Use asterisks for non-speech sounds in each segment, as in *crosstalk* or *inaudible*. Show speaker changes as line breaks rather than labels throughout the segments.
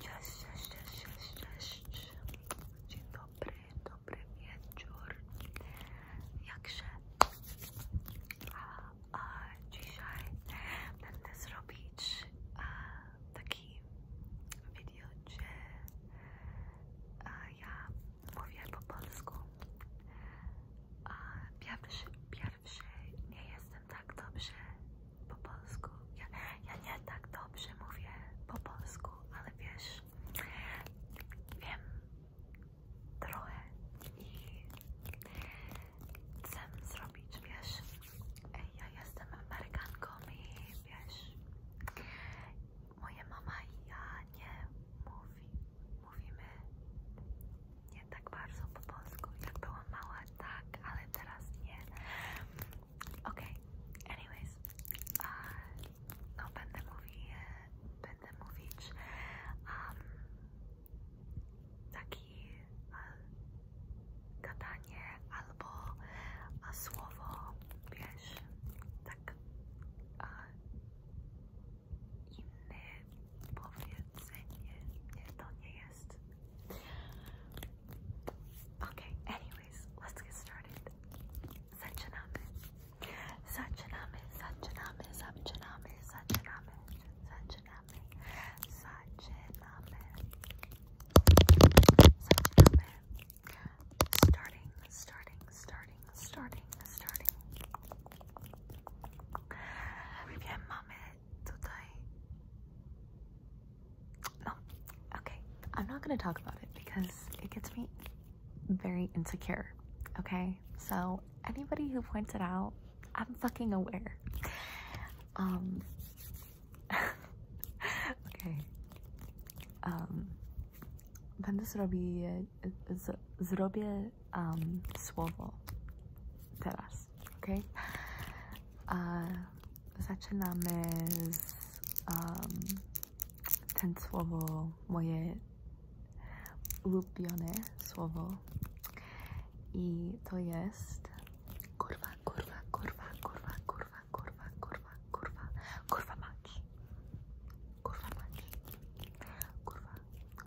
Cześć, cześć, cześć, Dzień dobry, dobry wieczór. Jakże? A, a dzisiaj będę zrobić a, taki video, gdzie a, ja mówię po polsku. pierwszy, pierwszy nie jestem tak dobrze po polsku. Ja, nie tak dobrze mówię po polsku, ale wiesz, wiem trochę i chcę zrobić, wiesz, ja jestem Amerykanką i wiesz, moja mama i ja nie mówi, mówimy nie tak bardzo po polsku, jak byłam mała, tak, ale teraz nie. Okej, okay. anyways, no będę mówić, e, będę mówić um, takie gadanie albo słowo, wiesz, tak okay, anyways, let's get started zaczynamy zaczynamy, zaczynamy, zaczynamy, zaczynamy zaczynamy,
zaczynamy starting, starting, starting, starting, starting Wiem, mamy tutaj. No, okay. I'm not going to talk about it because it gets me very insecure. Okay, so anybody who points it out, I'm fucking aware. Um. *laughs* okay. Um. Będę robić zrobię um, słowo teraz, ok? A zaczynamy z um, ten słowo, moje ulubione słowo i to jest kurwa, kurwa, kurwa, kurwa, kurwa, kurwa, kurwa, kurwa, kurwa mać, kurwa mać, kurwa,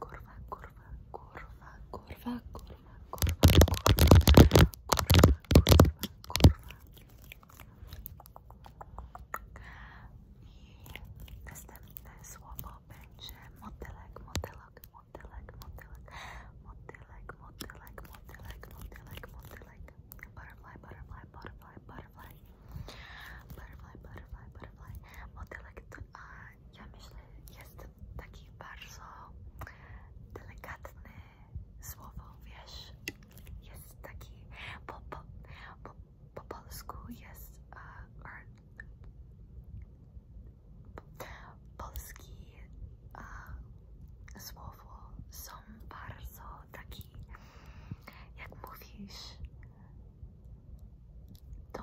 kurwa, kurwa, kurwa, kurwa, kurwa, kurwa, kurwa, kurwa, kurwa,
I następne słowo będzie motylek, motylek, motylek, motylek, motylek, motylek, motylek, motylek, motylek, butterfly, butterfly, butterfly, butterfly butterfly. Butterfly, butterfly, butterfly. Modelect, ja myślę, jest taki bardzo delikatny słowo, wiesz? Jest taki, po, po, po, po polsku jest, uh, or, polski uh, słowo są bardzo taki, jak mówisz, to,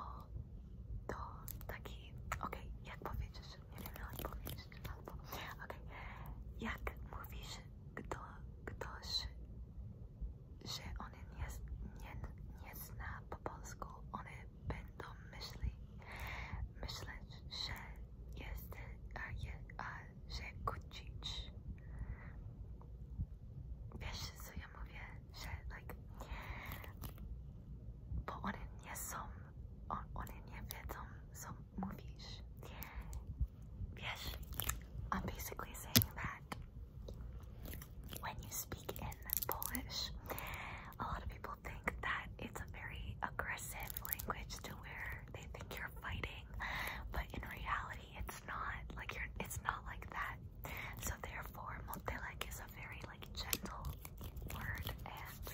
to taki, okay, jak powiedzisz, jak powiedzieć okay. jak mówisz, kto, ktoś, że on nie, nie, nie zna po polsku, one będą myśli, myśleć, że jest, a, je, a że kucić co ja mówię, że like, bo one nie są, on, one nie wiedzą, co mówisz. Wiesz, I'm basically saying that when you speak in Polish, a lot of people think that it's a very aggressive language to where they think you're fighting, but in reality, it's not like you're. It's not like that. So therefore, Montelec is a very like gentle word, and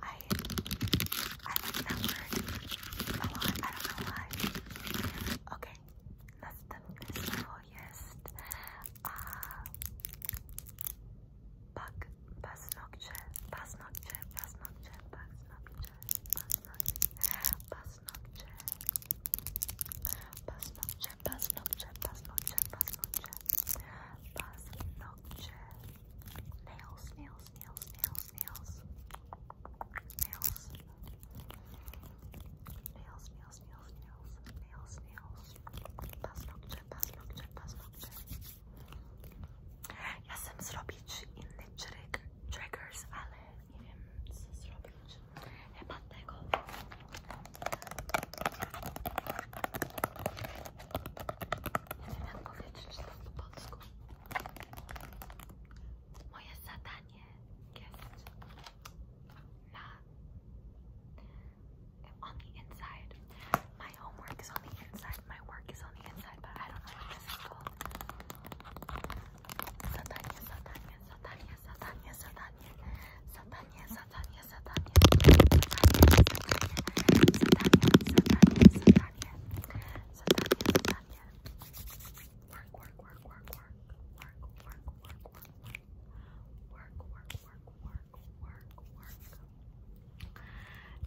I I like that word a lot. I don't know why. Okay, that's the mysterious uh, bug. Paznokje, paznokje, paznokje, paznokje, paznokje, paznokje, Paz noche. Paz noche, paz noche, paz noche, paz noche. Paz noche. Nails, nails, nails, nails, nails. Nails. Nails, nails, nails, nails, nails, nails. Paz noche, paz noche, paz noche. Ja sem zrobi hiç inlet triggers ale nie wiem co zrobić chyba tego nie wiem jak powiedzieć to po polsku moje zadanie jest na on the inside my homework is on the inside my work is on the inside but I don't know what this is Zadanie, zadanie, zadanie, zadanie, zadanie, zadanie, zadanie, zadanie, zadanie, zadanie, zadanie, zadanie, zadanie, zadanie. Work, work, work, work, work, work, work, work, work, work, work, work, work, work, work.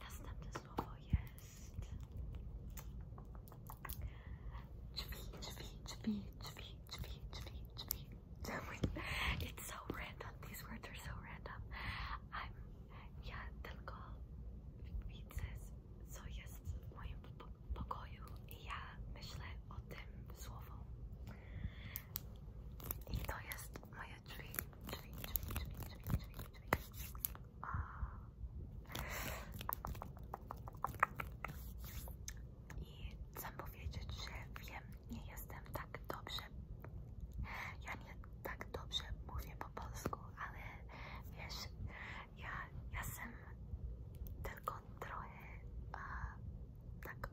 Następne słowo jest it's so random. These words are so random. I'm yeah, tylko widzę co jest w moim pokoju i I to jest moje drzwi, drzwi, drzwi, drzwi, drzwi, I chcę powiedzieć, że wiem, nie jestem tak dobrze, ja nie tak dobrze mówię po polsku, ale wiesz, ja, ja jestem tylko trochę uh, tak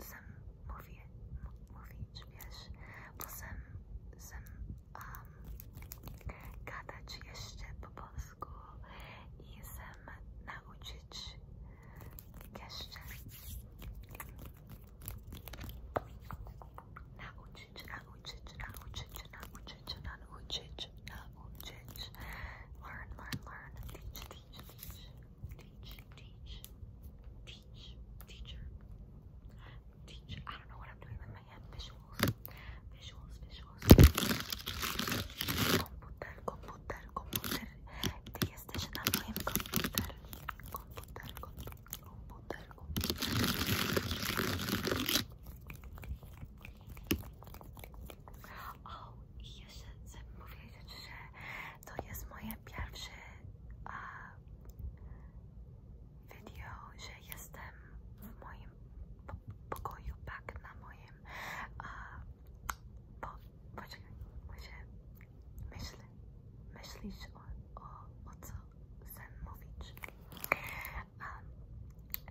sam mówię, mówić, wiesz, bo sam, sam gadać um, jeszcze po polsku i sam nauczyć jeszcze nauczyć, nauczyć, nauczyć, nauczyć, nauczyć, learn, learn, learn, teach, teach, teach teach, teach, teach teach, teacher, teacher. I don't know what I'm doing with my Visuals, visuals, visuals. Computer, computer, computer. Diye station'dayım. Computer, computer, computer, computer, computer. O, i jeszcze chcę powiedzieć, że to jest moje pierwsze video, że jestem w moim pokoju, tak na moim uh, po poczekaj, może myślę, myślisz o, o, co sen mówić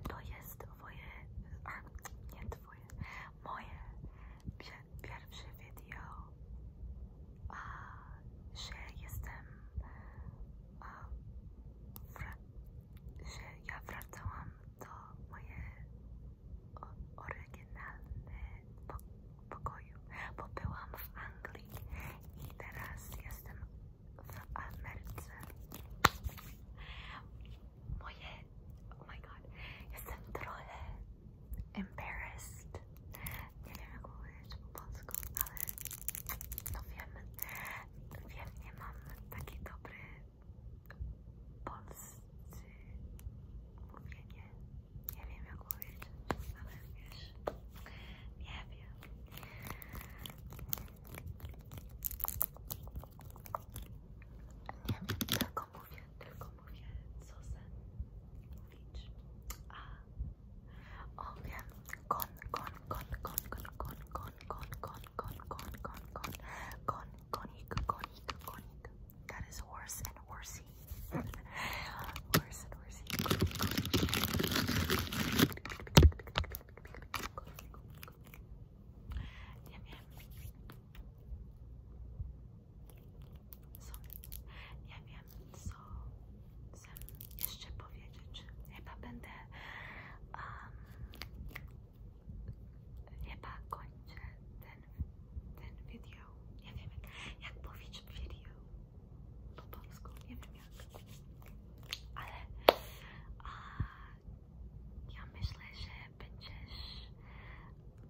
to jest twoje, nie twoje, moje pierwsze video, uh, że jestem że eh, ja wracałam do moje o, oryginalne eh, po, pokoju, bo byłam w Anglii i teraz jestem w oh my god, jestem trochę eh, embarrassed, nie wiem jak powiedzieć po polsku, ale no wiem, wiem, nie mam taki dobry polscy mówienie, nie wiem jak powiedzieć, ale wiesz, nie wiem. Nie wiem, tylko mówię, tylko mówię, co sen mówić, a Oh yeah, con, con, con, con, con, con, con, con, con, con, con, con, con, con, That is horse and horsey. są, nie wiem co chcę jeszcze powiedzieć, chyba będę, um, chyba kończę ten, ten video, nie wiem jak powiedzieć video po polsku, nie wiem jak, ale ja myślę, że będziesz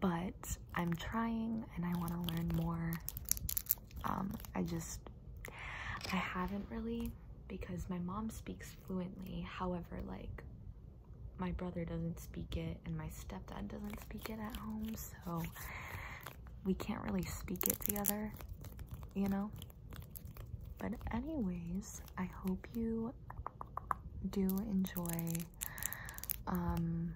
but I'm trying and I want to learn more. Um, I just, I haven't really because my mom speaks fluently. However, like my brother doesn't speak it and my stepdad doesn't speak it at home. So we can't really speak it together, you know? But anyways, I hope you do enjoy. Um,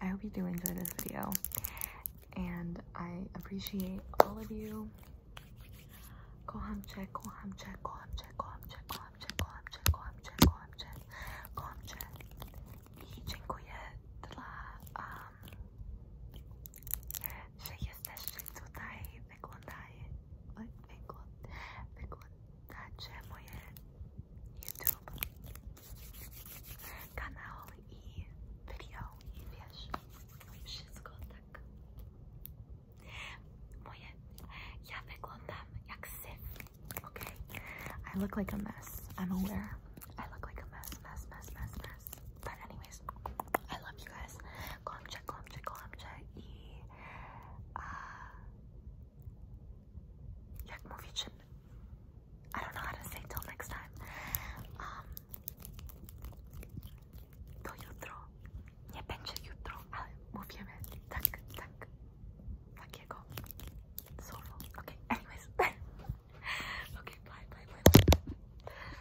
I hope you do enjoy this video, and I appreciate all of you. Kohamche, Kohamche, Kohamche, Kohamche, Kohamche, Kohamche, Kohamche, Kohamche, Kohamche. I dziękuję
dla um, i
okay? I look like a mess, I'm aware. I look like a mess.
But anyways, I love you guys. Komça, komça, komça i uh, jak mówić, I don't know how to say till next time. Um, do jutro. Nie będzie jutro, ale mówimy tak, tak, takiego słowo. Okay, anyways. *laughs* okay, bye, bye, bye. bye.